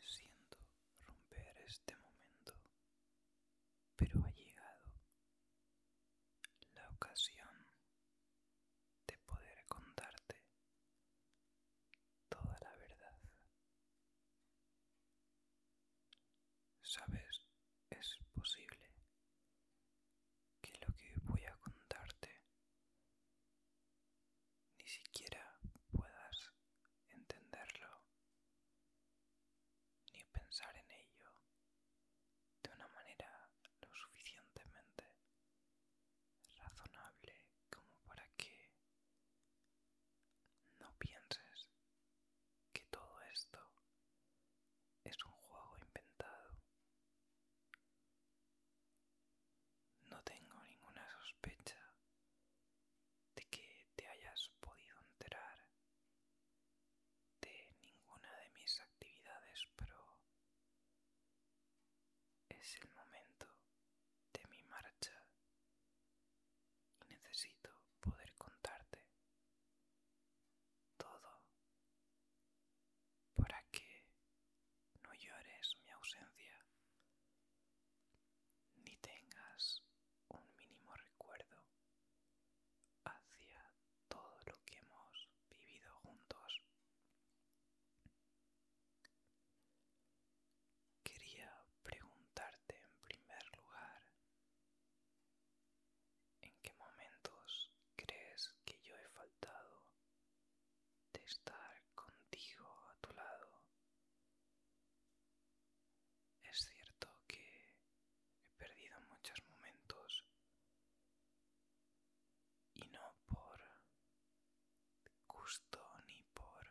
Siento romper este momento, pero ha llegado la ocasión de poder contarte toda la verdad. Sabes, es posible que lo que voy a contarte ni siquiera puedas entenderlo ni pensar en ello de una manera lo suficientemente razonable como para que no pienses que todo esto es un juego inventado no tengo ninguna sospecha de que te hayas podido enterar de ninguna de mis actividades, pero es el momento de mi marcha y necesito poder contarte todo para que no llores mi ausencia ni tengas un mínimo recuerdo hacia todo lo que hemos vivido juntos. Quería preguntarte en primer lugar, ¿en qué momentos crees que yo he faltado de estar contigo a tu lado. Es cierto que he perdido muchos momentos y no por gusto ni por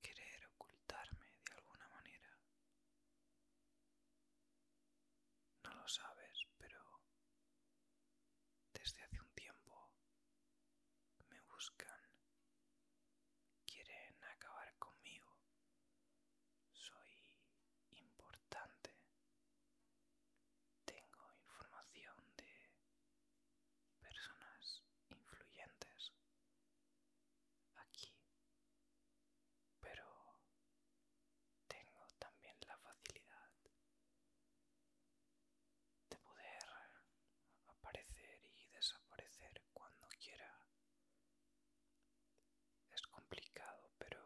querer ocultarme de alguna manera. No lo sabes, pero desde hace un tiempo me buscan. Quieren acabar conmigo. Soy importante. Tengo información de personas influyentes aquí. Pero tengo también la facilidad de poder aparecer y desaparecer cuando quiera. Es complicado, pero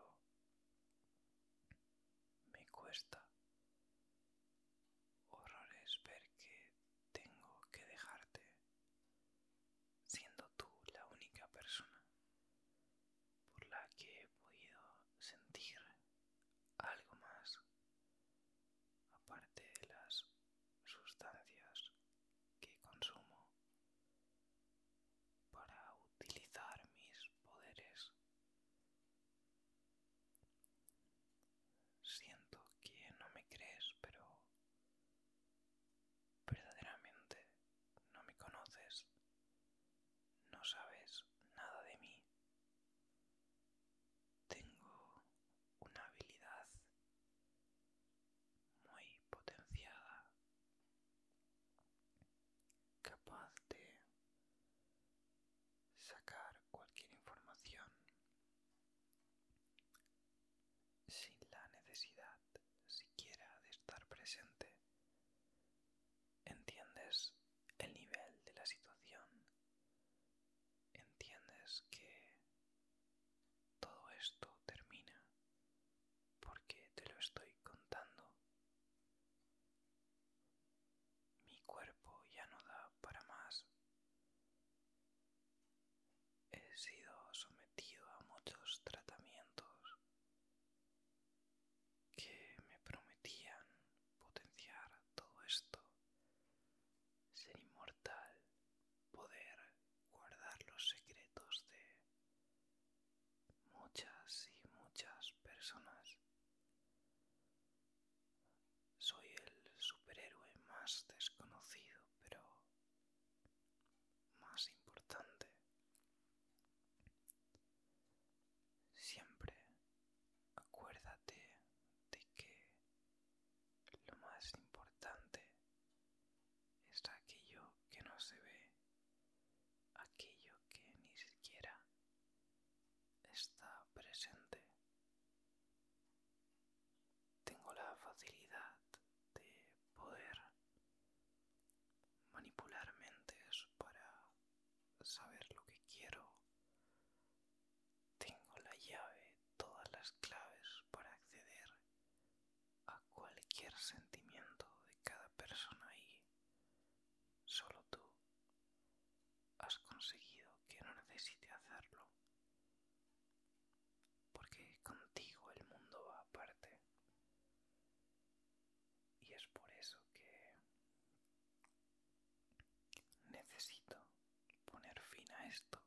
me cuesta horrores ver que tengo que dejarte siendo tú la única persona por la que he podido sentir algo más, aparte de las sustancias que consumo para utilizar mis poderes. Siento que no me crees, pero verdaderamente no me conoces no sabes nada de mí. Tengo una habilidad muy potenciada, capaz de sacar cualquier información sin la necesidad siquiera de estar presente entiendes el nivel de la situación, entiendes que todo esto termina porque te lo estoy contando. Mi cuerpo ya no da para más. He sido sometido a muchos tratamientos que me prometían potenciar todo esto, ser inmortal, poder guardar los secretos de muchas y muchas personas. Soy el superhéroe más desconocido, pero más importante. Siempre acuérdate de que lo más importante es aquello que no se ve, aquello que ni siquiera está presente. Tengo la facilidad de poder manipular mentes para saber lo que quiero. Tengo la llave, todas las claves para acceder a cualquier sentimiento de cada persona y solo tú has conseguido que no necesite hacerlo. Porque contigo el mundo va aparte. Y es por eso que necesito poner fin a esto.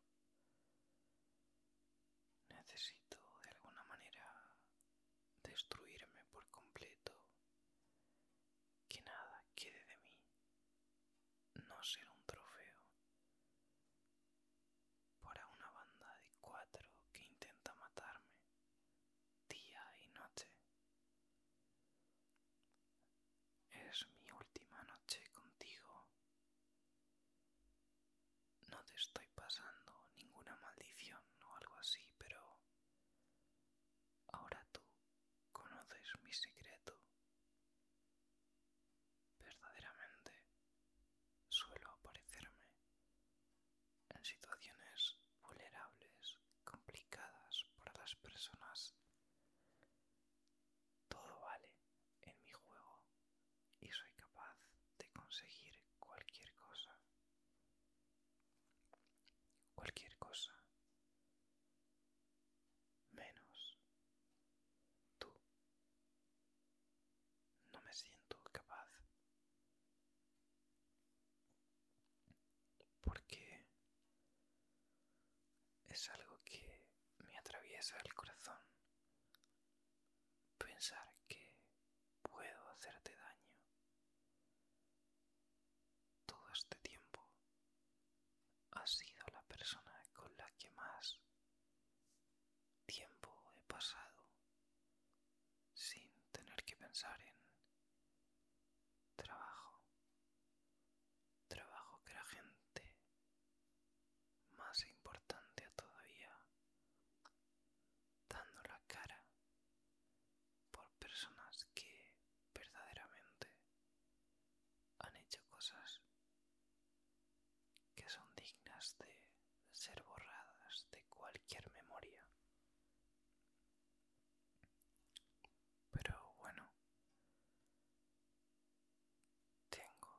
Necesito de alguna manera destruirme por completo. Que nada quede de mí. No ser un trofeo para una banda de cuatro que intenta matarme día y noche. Es mi última noche contigo. No te estoy pasando ninguna maldición o algo así, pero ahora tú conoces mi secreto. Verdaderamente suelo aparecerme en situaciones vulnerables, complicadas por las personas. Todo vale en mi juego y soy capaz de conseguir cualquier cosa. Cualquier cosa. Menos tú. No me siento capaz porque es algo que me atraviesa el corazón pensar que puedo hacerte daño todo este tiempo has sido la persona con la que más tiempo he pasado sin tener que pensar en Trabajo. Trabajo que la gente, más importante todavía, dando la cara por personas que verdaderamente han hecho cosas que son dignas de ser borradas de cualquier memoria pero bueno, tengo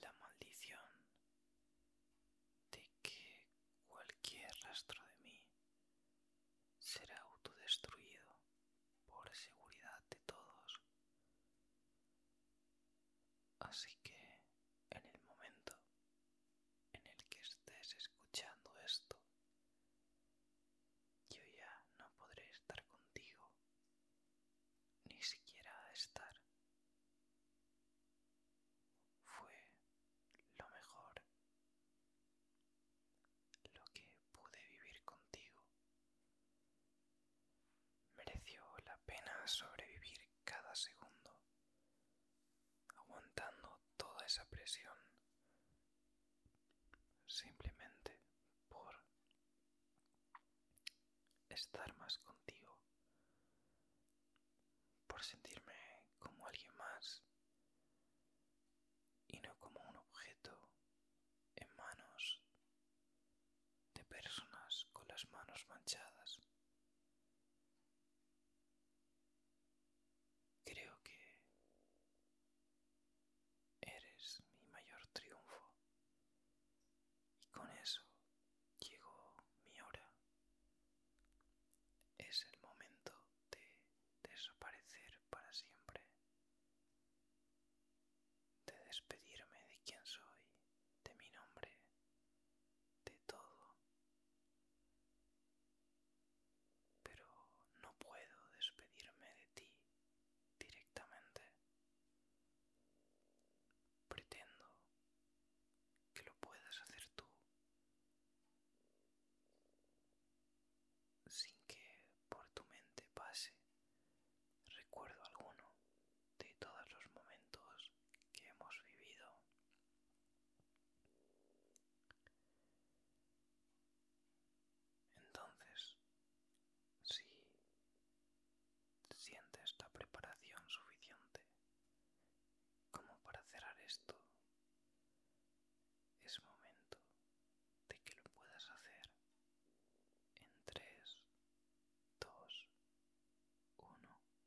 la maldición de que cualquier rastro de mí será autodestruido por seguridad de todos. Así que en el momento en el que estés escuchando esto, yo ya no podré estar contigo, ni siquiera estar. Fue lo mejor, lo que pude vivir contigo. Mereció la pena sobrevivir cada segundo, aguantando toda esa presión simplemente por estar más contigo, por sentirme como alguien más y no como un objeto en manos de personas con las manos manchadas Creo que eres mi mayor triunfo y con eso llegó mi hora. Es el momento de desaparecer para siempre, de despedirme de quien soy, de mi nombre de todo. Pero no puedo despedirme de ti directamente. Pretendo que lo puedas hacer tú sin que por tu mente pase recuerdo alguno de todos los momentos que hemos vivido entonces, si sientes la preparación suficiente como para cerrar esto, es momento de que lo puedas hacer en 3, 2, 1.